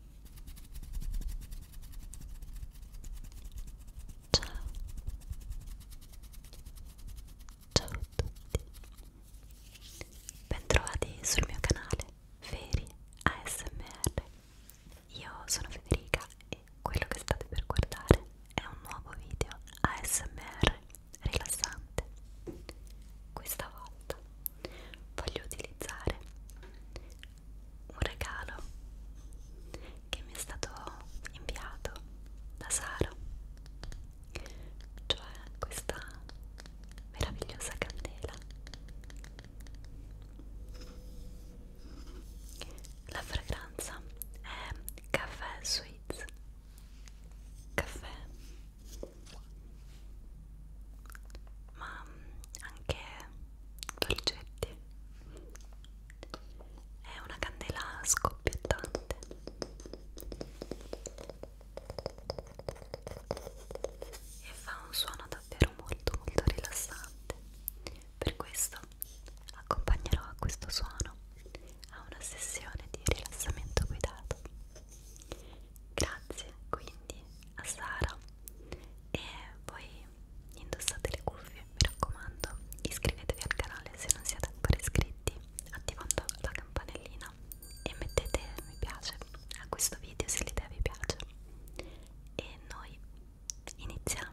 Ciao. Ciao a tutti. Bentrovati sul mio canale Feri ASMR. Io sono Federica e quello che state per guardare è un nuovo video ASMR rilassante. Questa volta voglio utilizzare un regalo che mi è stato inviato da Sara cioè questa meravigliosa candela la fragranza è caffè sweets caffè ma mm, anche dolcetti è una candela scoppiettante e fa un suono davvero molto molto rilassante per questo accompagnerò a questo suono a una sessione di rilassamento guidato Grazie quindi a Sara e poi indossate le cuffie, mi raccomando, iscrivetevi al canale se non siete ancora iscritti attivando la campanellina e mettete mi piace a questo video se l'idea vi piace e noi iniziamo.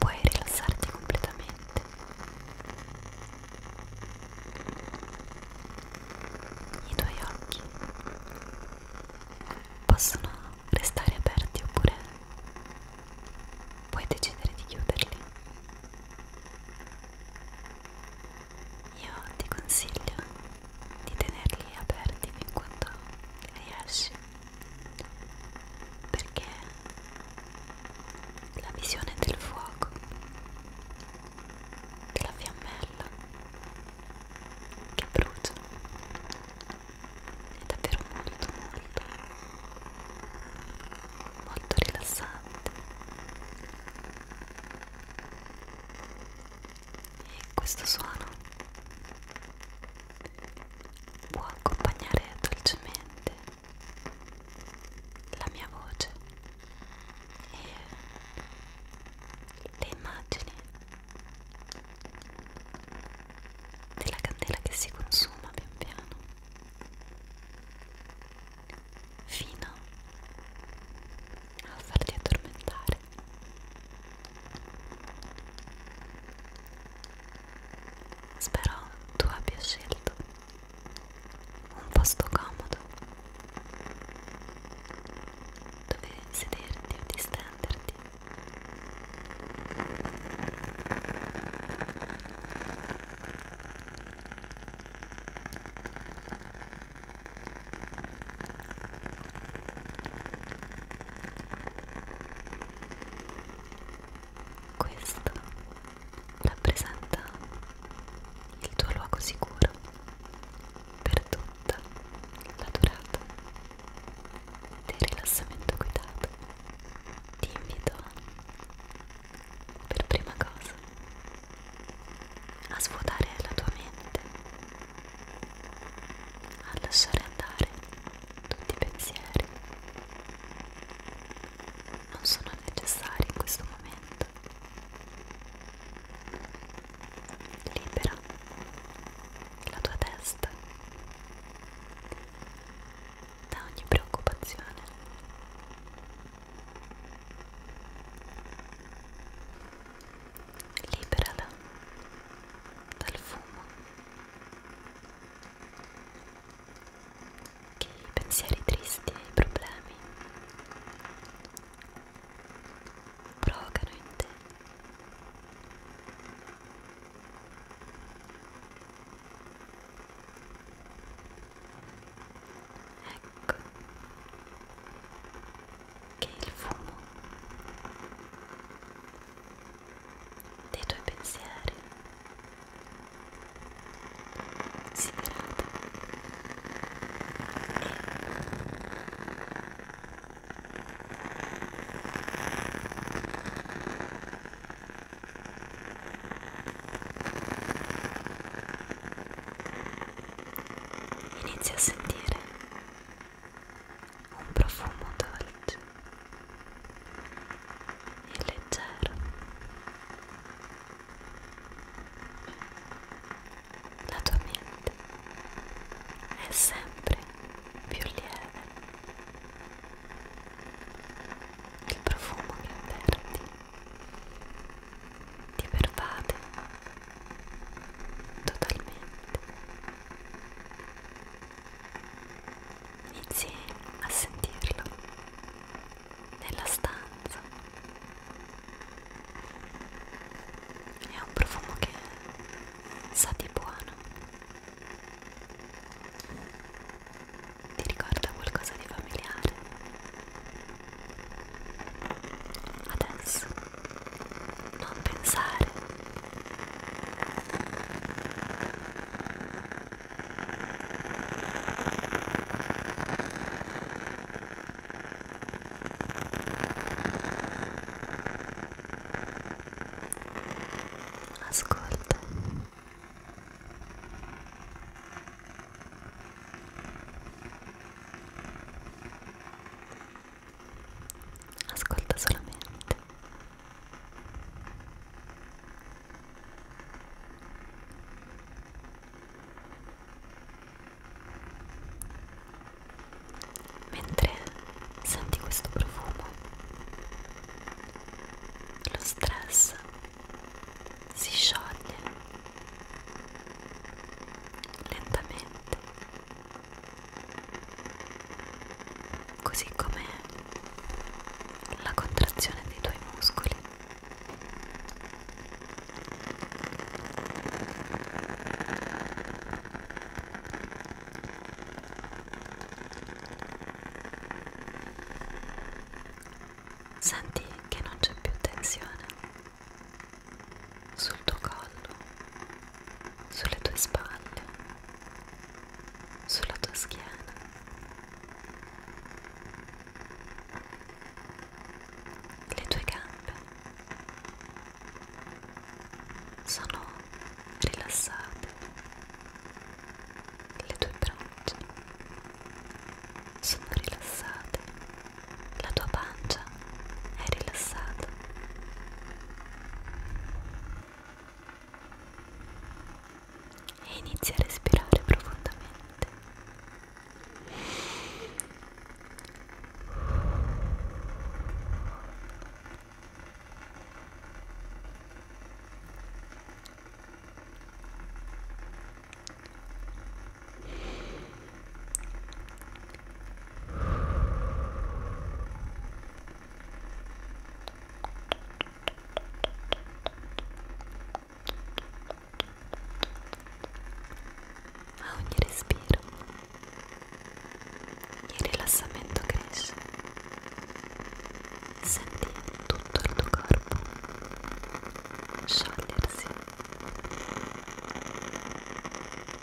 puoi rilassarti completamente i tuoi occhi possono restare aperti oppure puoi decidere di chiuderli io ti consiglio di tenerli aperti fin quando riesci perché la visione del fuoco, della fiammella che brucia è davvero molto molto molto rilassante questo suono può accompagnare dolcemente la mia voce e le immagini della candela che si consuma pian piano fino a farti addormentare Spero tu abbia scelto un posto comodo dove sederti o distenderti. Questo rappresenta il tuo luogo sicuro per tutta la durata del rilassamento guidato. Ti invito per prima cosa a svuotare la tua mente a lasciare andare tutti i pensieri. Non sono necessari in questo momento. Libera la tua testa da ogni preoccupazione liberala dal fumo che i pensieri tristi e i problemi provocano in te ecco che il fumo dei tuoi pensieri si grada e inizia a sentire un profumo dolce e leggero. La tua mente è sempre più lieve. Il profumo che avverti ti pervade totalmente Inizi a sentirlo nella stanza. È un profumo che sa di buono. Ti ricorda qualcosa di familiare. Adesso non pensare ascolta ascolta solamente mentre senti questo profumo lo stress si scioglie lentamente così come la contrazione dei tuoi muscoli. Senti che non c'è più tensione sul tuo collo, sulle tue spalle, sulla tua schiena. Le tue gambe sono rilassate, le tue braccia sono rilassate, la tua pancia è rilassato. E inizia a respirare profondamente. A ogni respiro il rilassamento cresce, senti tutto il tuo corpo sciogliersi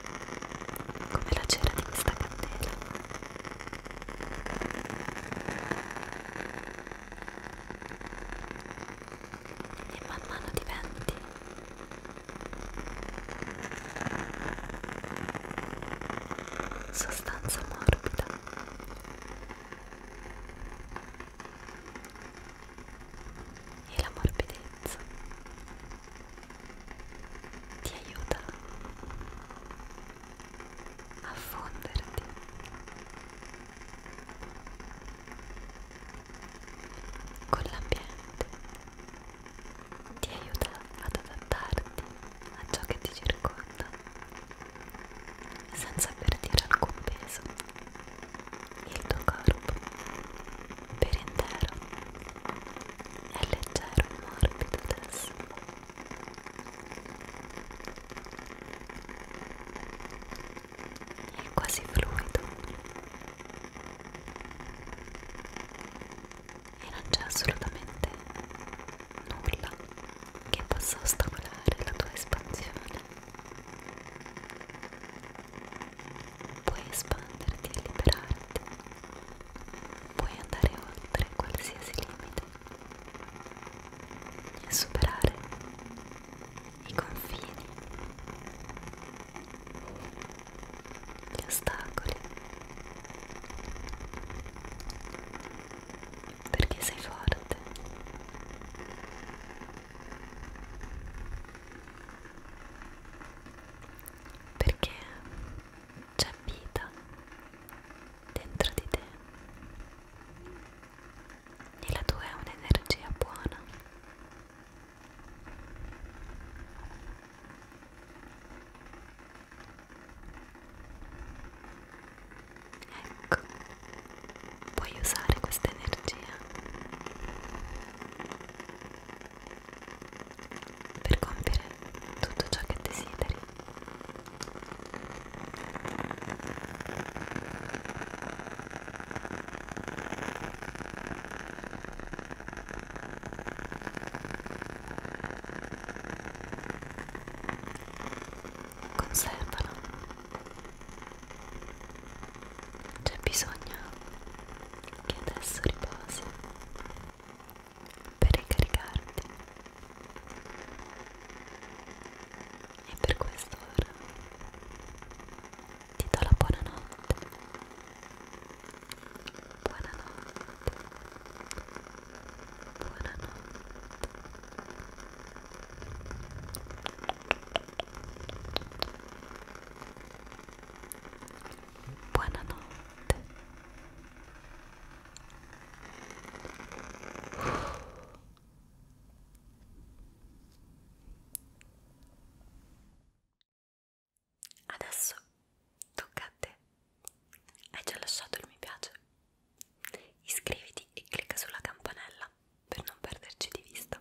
come la cera di questa candela e man mano diventi sostanza morbida e la morbidezza ti aiuta a fonderti con l'ambiente, ti aiuta ad adattarti a ciò che ti circonda senza perdere alcun peso. Il tuo corpo per intero è leggero e morbido adesso è quasi fluido e non c'è assolutamente nulla che possa ostacolare la tua espansione puoi espanderti e liberarti, puoi andare oltre qualsiasi limite e superare i confini, gli ostacoli, perché sei forte perché c'è vita dentro di te e la tua è un'energia buona. Ecco, puoi usare questa energia per compiere tutto ciò che desideri. Conservalo. C'è bisogno che adesso riposi per ricaricarti e per quest'ora ti do la buonanotte buonanotte buonanotte buonanotte adesso tocca a te hai già lasciato il mi piace iscriviti e clicca sulla campanella per non perderci di vista